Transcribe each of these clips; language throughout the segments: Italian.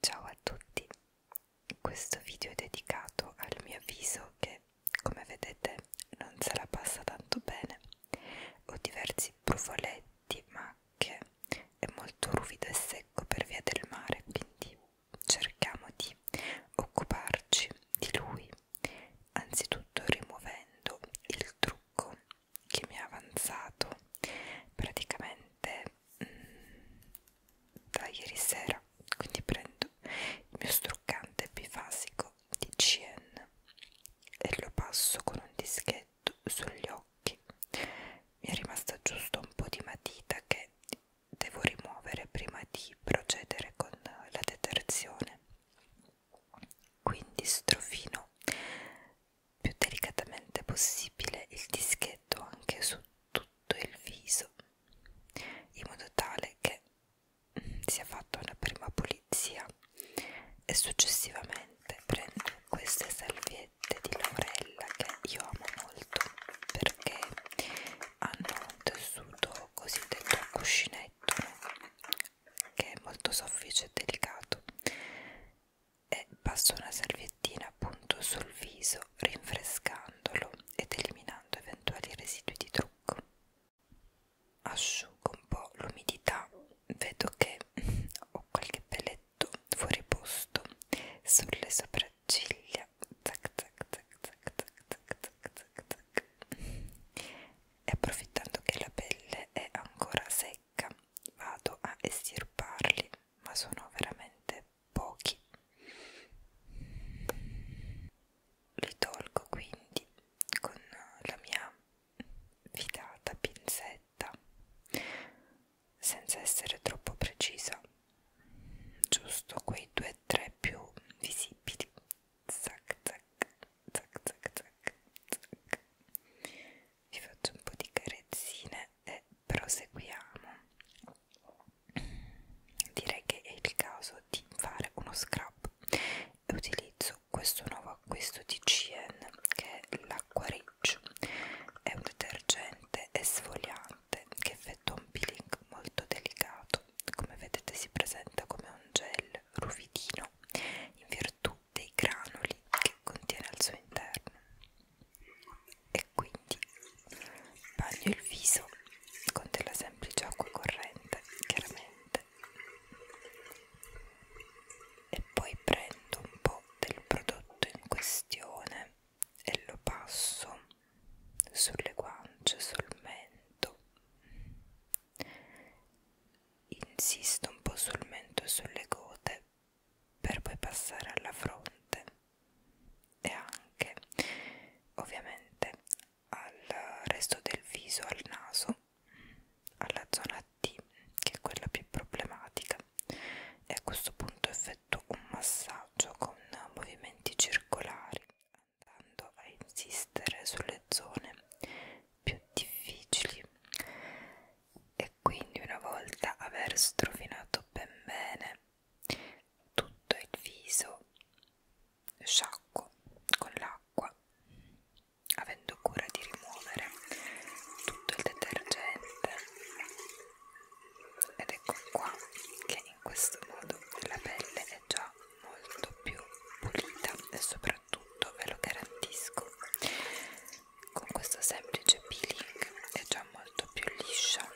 Ciao a tutti, questo video è dedicato al mio viso che come vedete non se la passa tanto bene, ho diversi brufoletti, macchie, è molto ruvido e secco per via del mare quindi cerchiamo di occuparci di lui, anzitutto rimuovendo il trucco che mi ha avanzato praticamente mh, mm, da ieri sera. Quindi prendo il mio struccante bifasico di CN e lo passo con un dischetto sugli occhi. Mi è rimasta giusto un po' di matita che devo rimuovere prima di procedere con la detersione quindi strofino più delicatamente possibile il dischetto anche su tutto il viso in modo tale che sia fatta una prima pulizia e successivamente prendo queste salviette ricette di Laurella che io amo molto perché hanno un tessuto cosiddetto a cuscinetto che è molto soffice e delicato e passo una salviettina appunto sul viso rinfrescandolo ed eliminando eventuali residui di trucco asciugo un po' l'umidità vedo che ho qualche pelletto tutto fuori posto sulle sopracciglia zac zac zac zac zac zac zac zac e approfittando che la pelle è ancora secca vado a estirparli ma sono veramente pochi li tolgo quindi con la mia fidata pinzetta senza essere troppo precisa giusto quei due o tre più visibili zac zac zac zac zac zac vi faccio un po' di carezzine e proseguiamo direi che è il caso di fare uno scrub utilizzo questo nuovo acquisto di CN che è la acqua riccio. È un detergente esfoliante che effettua un peeling molto delicato. Come vedete si presenta come un gel ruvidino in virtù dei granuli che contiene al suo interno. E quindi bagno il viso con della semplice acqua corrente, chiaramente. E poi prendo un po' del prodotto in questione e lo passo sulle guance, sul mento. Insisto un po' sul mento e sulle gote per poi passare alla fronte e anche ovviamente al resto del viso, al naso, alla zona D, che è quella più problematica, e a questo punto effettuo un massaggio con movimenti circolari, andando a insistere sulle zone più difficili. E quindi, una volta aver strofinato ben bene tutto il viso, sciacquo con l'acqua, avendo cura di rimuovere tutto il detergente ed ecco qua che in questo modo la pelle è già molto più pulita e soprattutto ve lo garantisco con questo semplice peeling è già molto più liscia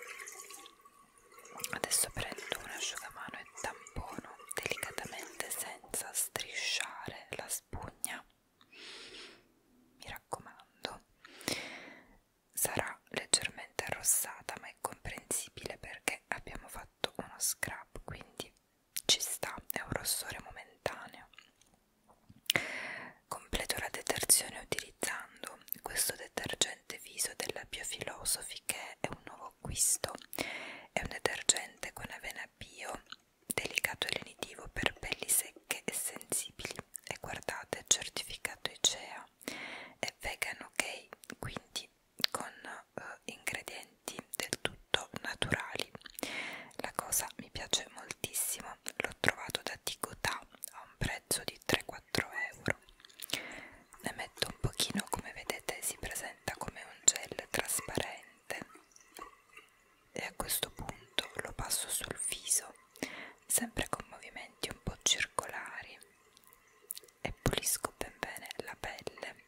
adesso prendo un asciugamano e tampono delicatamente senza strisciare la spugna mi raccomando sarà leggermente arrossata ma è comprensibile perché abbiamo fatto uno scrub quindi ci sta è un rossore momentaneo completo la detersione utilizzando questo detergente viso della Biofilosofi che è un nuovo acquisto è un detergente con avena bio delicato e lenitivo per pelli secche e sensibili e guardate certificato ICEA è vegan ok quindi con eh, ingredienti del tutto naturali la cosa mi piace moltissimo l'ho trovato da Ticotà a un prezzo di 3-4 euro ne metto un pochino come vedete si presenta come un gel trasparente lente e a questo punto lo passo sul viso sempre con movimenti un po' circolari e pulisco ben bene la pelle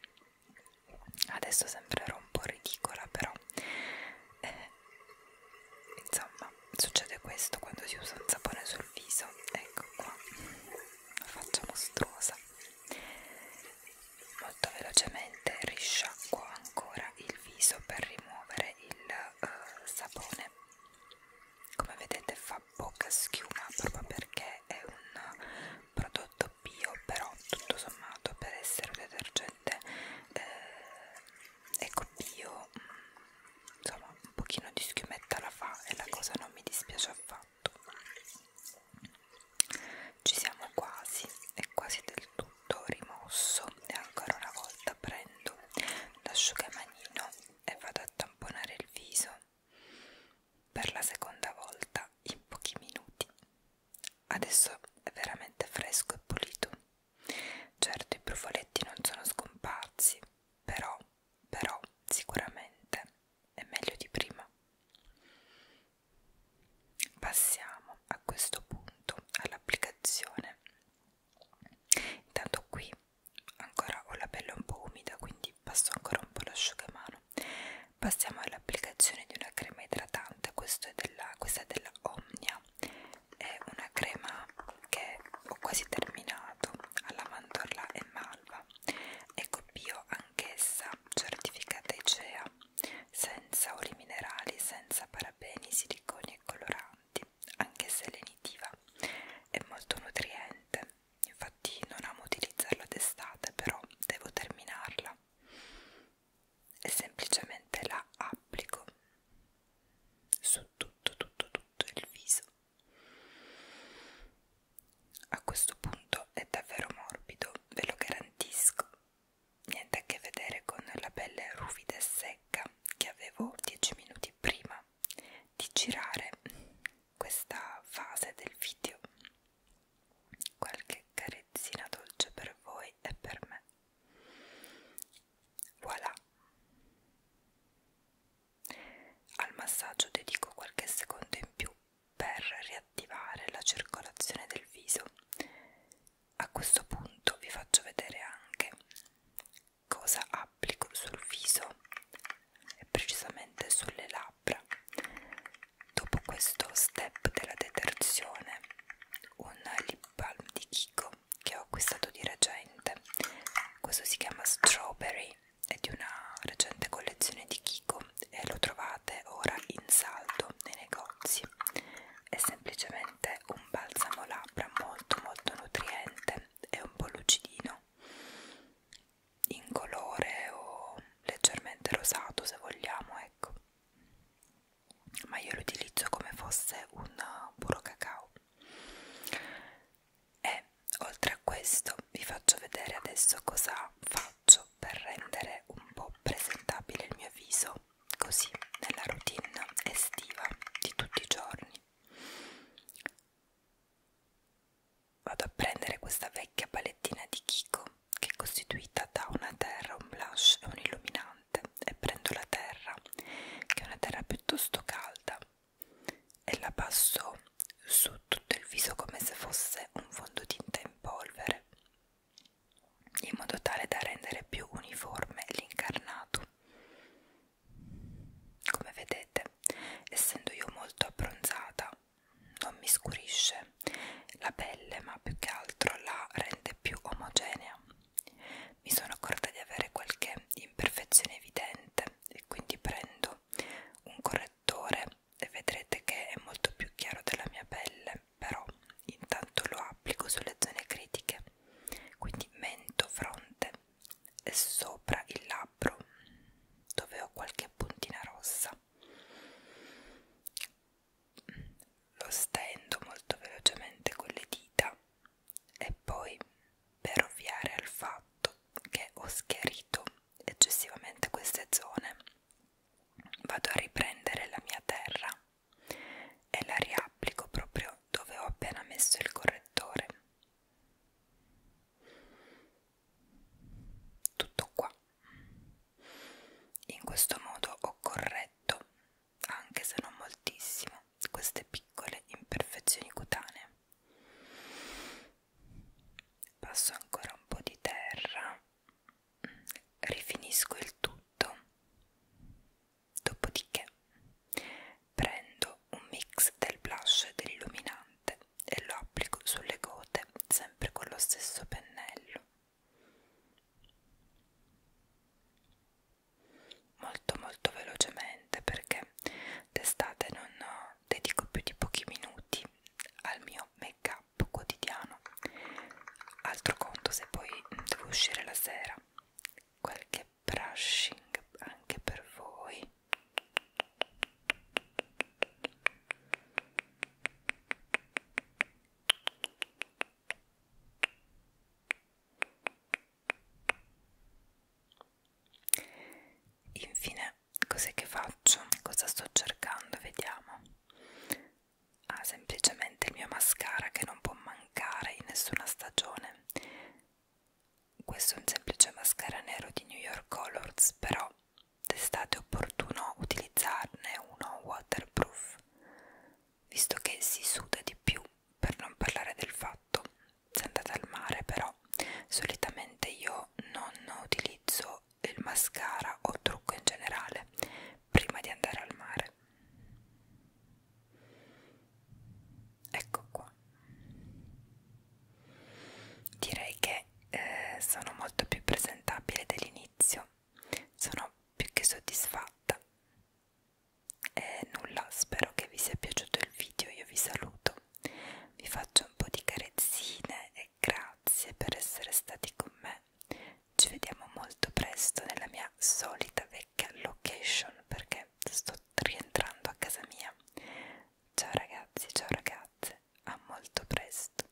adesso sembrerò un po' ridicola però eh, insomma succede questo quando si usa un sapone sul viso ecco qua la faccia mostruosa molto velocemente risciacquo ancora il viso per rimuovere il uh, sapone come vedete fa poca schiuma proprio perché è un prodotto bio però tutto sommato per essere un detergente eh, eco bio insomma un pochino di schiumetta la fa e la cosa non mi dispiace affatto ci siamo quasi, è quasi del tutto rimosso e ancora una volta prendo l'asciugamanino e vado a tamponare il viso per la seconda volta in pochi minuti. Adesso è veramente fresco e pulito. Certo i brufoletti non sono scomparsi, però, però sicuramente è meglio di prima. Passiamo a questo punto all'applicazione. Intanto qui ancora ho la pelle un po' umida, quindi passo ancora un po' l'asciugamano. Passiamo all'applicazione di una crema idratante, è della, questa è della Omnia, è una crema che ho quasi terminato alla mandorla e malva, ecco bio anch'essa certificata ICEA, senza oli minerali, senza parabeni, siliconi e coloranti, anche se lenitiva, è molto nutriente. Infatti non amo utilizzarla d'estate, però devo terminarla e semplicemente la applico su tutto tutto tutto il viso a questo punto è davvero morbido, ve lo garantisco. Niente a che vedere con la pelle ruvida e secca che avevo 10 minuti prima di girare questa fase del video. Qualche carezzina dolce per voi e per me. Voilà. Al massaggio dedico qualche secondo in più per riattivare la circolazione del viso. A questo punto vi faccio vedere anche cosa applico sul viso e precisamente sulle labbra. Dopo questo step della detersione, un lip balm di Kiko che ho acquistato di recente, questo si chiama Strawberry è di una recente collezione di Kiko e lo trovate ora in saldo nei negozi. È semplicemente un balsamo labbra molto molto nutriente e un po' lucidino, in colore o leggermente rosato se vogliamo, ecco. Ma io lo utilizzo come fosse un puro cacao e oltre a questo vi faccio vedere adesso cosa faccio per rendere un po' presentabile il mio viso così nella routine estiva di tutti i giorni vado a prendere questa vecchia palettina di Kiko che è costituita da una terra, un blush e un illuminante e prendo la terra che è una terra piuttosto calda e la passò su tutto il viso come se fosse un fondotinta in polvere, in modo tale da rendere più uniforme l'incarnato. Come vedete, essendo io molto abbronzata, non mi scurisce la pelle, ma più che altro la rende più omogenea. Mi sono accorta di avere qualche imperfezione evidente e quindi prendo un correttore e vedrete che è molto più chiaro della mia pelle però intanto lo applico sulle zone critiche quindi mento, fronte e sopra il labbro dove ho qualche puntina rossa lo stendo molto velocemente con le dita e poi per ovviare al fatto che ho schiarito eccessivamente queste zone vado a riprendere la mia terra e la riapplico proprio dove ho appena messo il correttore tutto qua in questo modo ho corretto anche se non moltissimo queste piccole imperfezioni cutanee. Passo ancora un po' di terra, rifinisco il tutto, dopodiché prendo un mix del blush e dell'illuminante e lo applico sulle gote sempre con lo stesso pennello molto molto velocemente perché d'estate non dedico più di pochi minuti al mio make up quotidiano altro conto se poi devo uscire la sera qualche brushing anche per voi Infine, cos'è che faccio? Cosa sto cercando? Vediamo. Ah, semplicemente il mio mascara che non può mancare in nessuna stagione. Questo è un semplice mascara nero di New York Colors, però d'estate è opportuno utilizzarne uno waterproof visto che si suda di più per non parlare del fatto se andate al mare però solitamente io non utilizzo il mascara o trucco in generale prima di andare al mare ecco qua direi che eh, sono molto più presentabile dell'inizio sono più che soddisfatta e eh, nulla, spero che vi sia piaciuto il video, io vi saluto, vi faccio un po' di carezzine e grazie per essere stati con me. Ci vediamo molto presto nella mia solita vecchia location perché sto rientrando a casa mia. Ciao ragazzi, ciao ragazze, a molto presto.